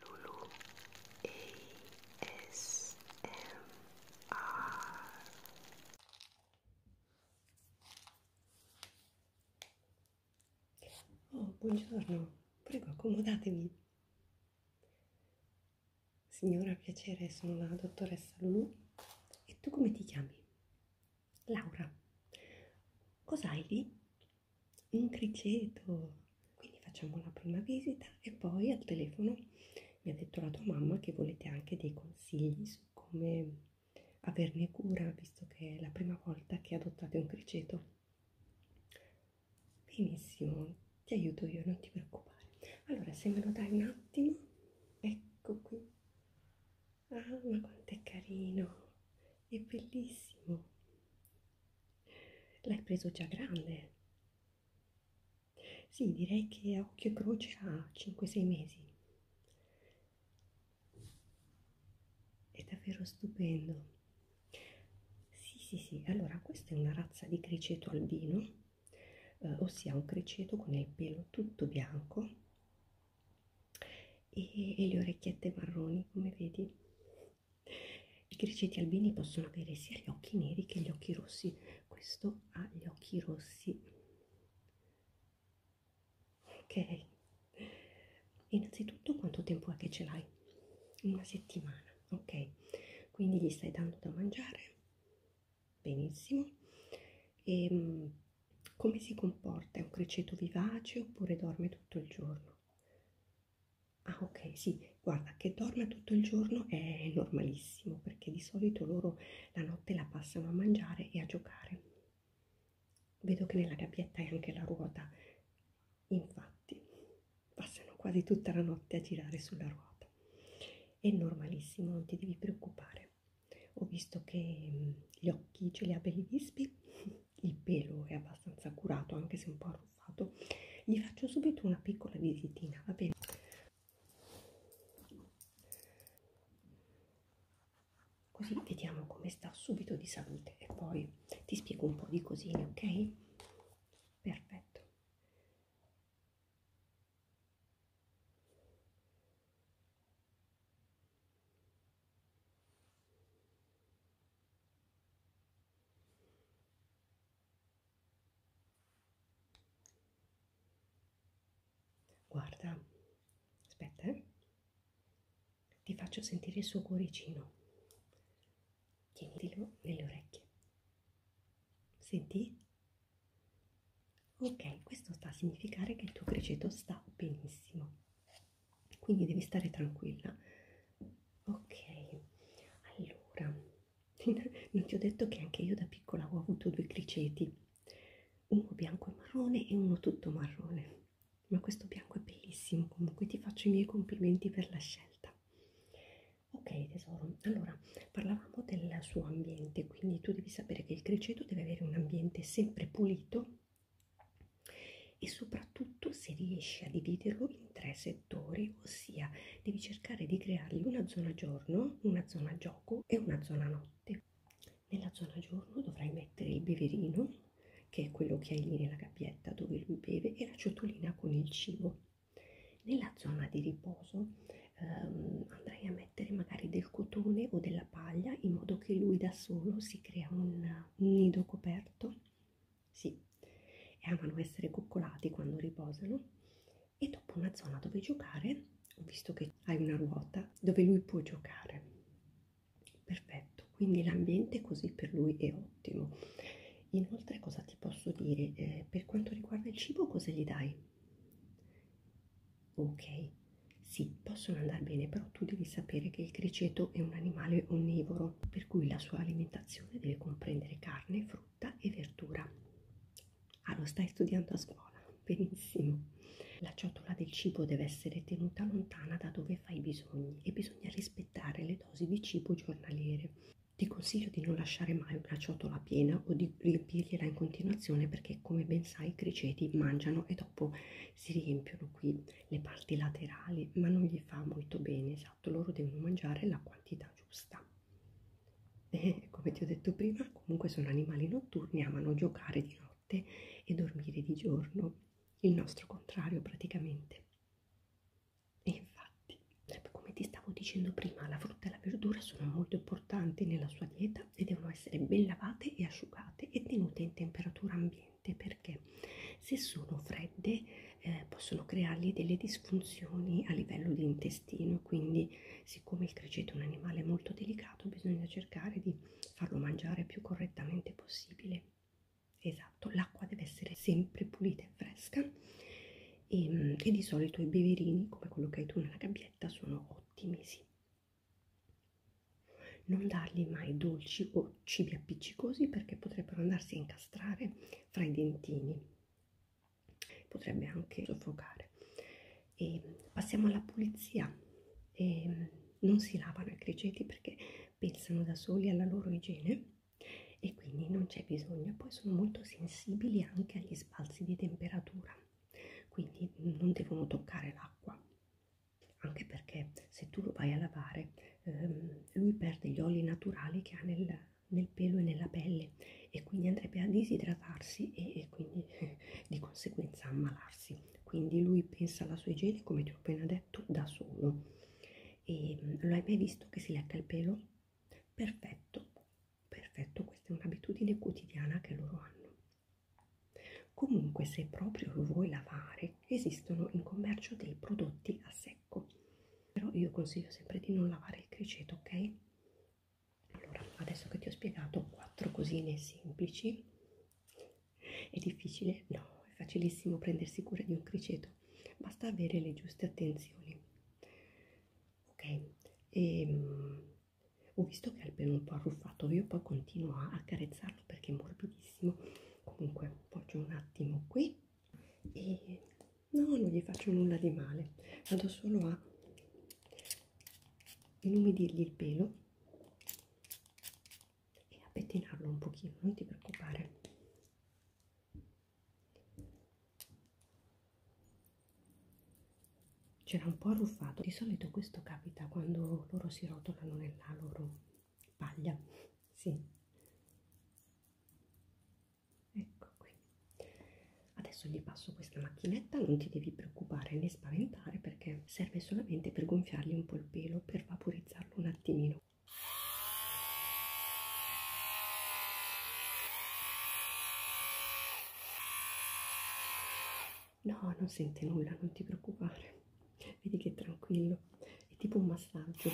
Lulu ASMR Oh, buongiorno, prego accomodatevi. Signora, piacere, sono la dottoressa Lulu. E tu come ti chiami? Laura. Cos'hai lì? un criceto quindi facciamo la prima visita e poi al telefono mi ha detto la tua mamma che volete anche dei consigli su come averne cura visto che è la prima volta che adottate un criceto benissimo ti aiuto io non ti preoccupare allora se me lo dai un attimo ecco qui ah ma quanto è carino è bellissimo L'hai preso già grande? Sì, direi che a occhio e croce ha 5-6 mesi. È davvero stupendo. Sì, sì, sì. Allora, questa è una razza di criceto albino, eh, ossia un criceto con il pelo tutto bianco e, e le orecchiette marroni come vedi i criceti albini possono avere sia gli occhi neri che gli occhi rossi questo ha gli occhi rossi ok innanzitutto quanto tempo è che ce l'hai una settimana ok quindi gli stai dando da mangiare benissimo e ehm, come si comporta è un criceto vivace oppure dorme tutto il giorno Ah ok, sì, guarda che dorma tutto il giorno è normalissimo perché di solito loro la notte la passano a mangiare e a giocare. Vedo che nella gabbietta è anche la ruota, infatti passano quasi tutta la notte a girare sulla ruota. È normalissimo, non ti devi preoccupare. Ho visto che mm, gli occhi ce li ha belli vispi il pelo è abbastanza curato anche se un po' arruffato gli faccio subito una piccola visitina va bene così vediamo come sta subito di salute e poi ti spiego un po' di cosine ok perfetto Guarda, aspetta, eh. ti faccio sentire il suo cuoricino. Tienitelo nelle orecchie. Senti? Ok, questo sta a significare che il tuo criceto sta benissimo quindi devi stare tranquilla ok allora non ti ho detto che anche io da piccola ho avuto due criceti uno bianco e marrone e uno tutto marrone ma questo bianco è bellissimo comunque ti faccio i miei complimenti per la scelta ok tesoro allora parlavamo del suo ambiente quindi tu devi sapere che il criceto deve avere un ambiente sempre pulito e soprattutto se riesci a dividerlo in tre settori, ossia devi cercare di creargli una zona giorno, una zona gioco e una zona notte. Nella zona giorno dovrai mettere il beverino, che è quello che hai lì nella gabbietta dove lui beve, e la ciotolina con il cibo. Nella zona di riposo ehm, andrai a mettere magari del cotone o della paglia in modo che lui da solo si crea un, un nido coperto sì e amano essere coccolati quando riposano e dopo una zona dove giocare ho visto che hai una ruota dove lui può giocare perfetto quindi l'ambiente così per lui è ottimo inoltre cosa ti posso dire eh, per quanto riguarda il cibo cosa gli dai Ok, sì, possono andare bene, però tu devi sapere che il criceto è un animale onnivoro, per cui la sua alimentazione deve comprendere carne, frutta e verdura. Ah, lo stai studiando a scuola? Benissimo. La ciotola del cibo deve essere tenuta lontana da dove fa i bisogni e bisogna rispettare le dosi di cibo giornaliere. Ti consiglio di non lasciare mai una ciotola piena o di riempirgliela in continuazione perché perché come ben sai i criceti mangiano e dopo si riempiono qui le parti laterali ma non gli fa molto bene esatto loro devono mangiare la quantità giusta e eh, come ti ho detto prima comunque sono animali notturni amano giocare di notte e dormire di giorno il nostro contrario praticamente e infatti come ti stavo dicendo prima la frutta e la verdura sono molto importanti nella sua dieta e devono essere ben lavate e asciugate e tenute in temperatura ambiente perché se sono fredde eh, possono creargli delle disfunzioni a livello di intestino quindi siccome il criceto è un animale molto delicato bisogna cercare di farlo mangiare più correttamente possibile esatto l'acqua deve essere sempre pulita e fresca e, ehm, e di solito i beverini come quello che hai tu nella gabbietta sono ottimi, sì. Non dargli mai dolci o cibi appiccicosi perché potrebbero andarsi a incastrare fra i dentini, potrebbe anche soffocare. E passiamo alla pulizia. E non si lavano i criceti perché pensano da soli alla loro igiene e quindi non c'è bisogno. Poi sono molto sensibili anche agli sbalzi di temperatura quindi non devono toccare l'acqua anche perché se tu lo vai a lavare ehm, lui perde gli oli naturali che ha nel, nel pelo e nella pelle e quindi andrebbe a disidratarsi e, e quindi eh, di conseguenza ammalarsi quindi lui pensa alla sua igiene come ti ho appena detto da solo e ehm, lo hai mai visto che si lecca il pelo? perfetto Perfetto, questa è un'abitudine quotidiana che loro hanno. Comunque, se proprio lo vuoi lavare, esistono in commercio dei prodotti a secco. Però io consiglio sempre di non lavare il criceto, ok? Allora, adesso che ti ho spiegato quattro cosine semplici, è difficile? No, è facilissimo prendersi cura di un criceto, basta avere le giuste attenzioni ok? E, um, ho visto che è il pelo un po' arruffato, io poi continuo a accarezzarlo perché è morbidissimo. Comunque, faccio un attimo qui e no, non gli faccio nulla di male. Vado solo a inumidirgli il pelo e a pettinarlo un pochino, non ti preoccupare. C'era un po' arruffato, di solito questo capita quando loro si rotolano nella loro paglia, sì. Ecco qui. Adesso gli passo questa macchinetta, non ti devi preoccupare né spaventare perché serve solamente per gonfiargli un po' il pelo, per vaporizzarlo un attimino. No, non sente nulla, non ti preoccupare. Vedi che è tranquillo, è tipo un massaggio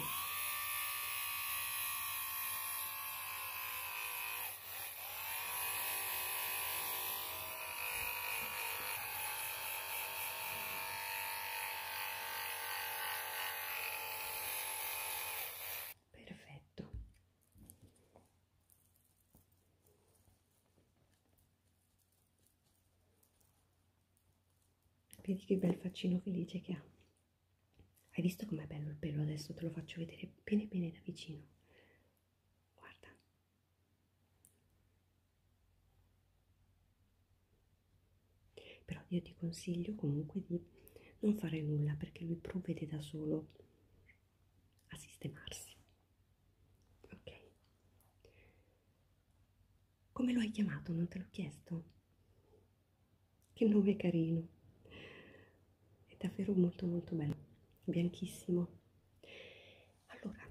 perfetto vedi che bel faccino felice che ha hai visto com'è bello il pelo adesso te lo faccio vedere bene bene da vicino guarda però io ti consiglio comunque di non fare nulla perché lui provvede da solo a sistemarsi ok come lo hai chiamato non te l'ho chiesto che nome carino è davvero molto molto bello bianchissimo allora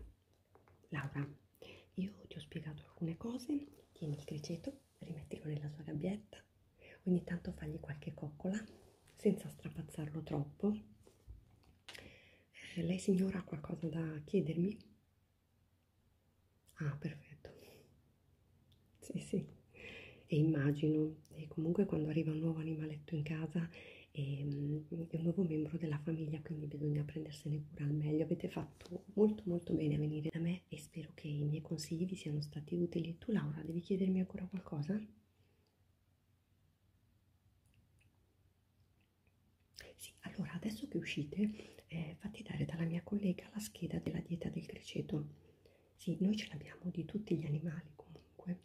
Laura io ti ho spiegato alcune cose tieni il criceto rimettilo nella sua gabbietta, ogni tanto fagli qualche coccola senza strapazzarlo troppo. Eh, lei signora ha qualcosa da chiedermi? Ah, perfetto. Sì, sì. E immagino, e comunque quando arriva un nuovo animaletto in casa è, ehm, è un nuovo membro della famiglia, quindi bisogna prendersene cura al meglio. Avete fatto molto molto bene a venire da me e spero che i miei consigli vi siano stati utili. Tu Laura, devi chiedermi ancora qualcosa? Sì, allora adesso che uscite eh, fate dare dalla mia collega la scheda della dieta del criceto. Sì, noi ce l'abbiamo di tutti gli animali comunque,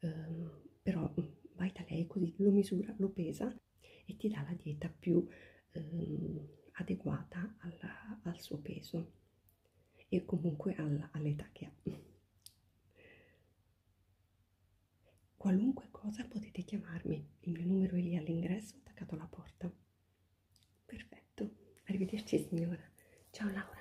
um, però mm, vai da lei così lo misura, lo pesa e ti dà la dieta più ehm, adeguata alla, al suo peso e comunque all'età all che ha. Qualunque cosa potete chiamarmi, il mio numero è lì all'ingresso attaccato alla porta. Perfetto, arrivederci signora. Ciao Laura.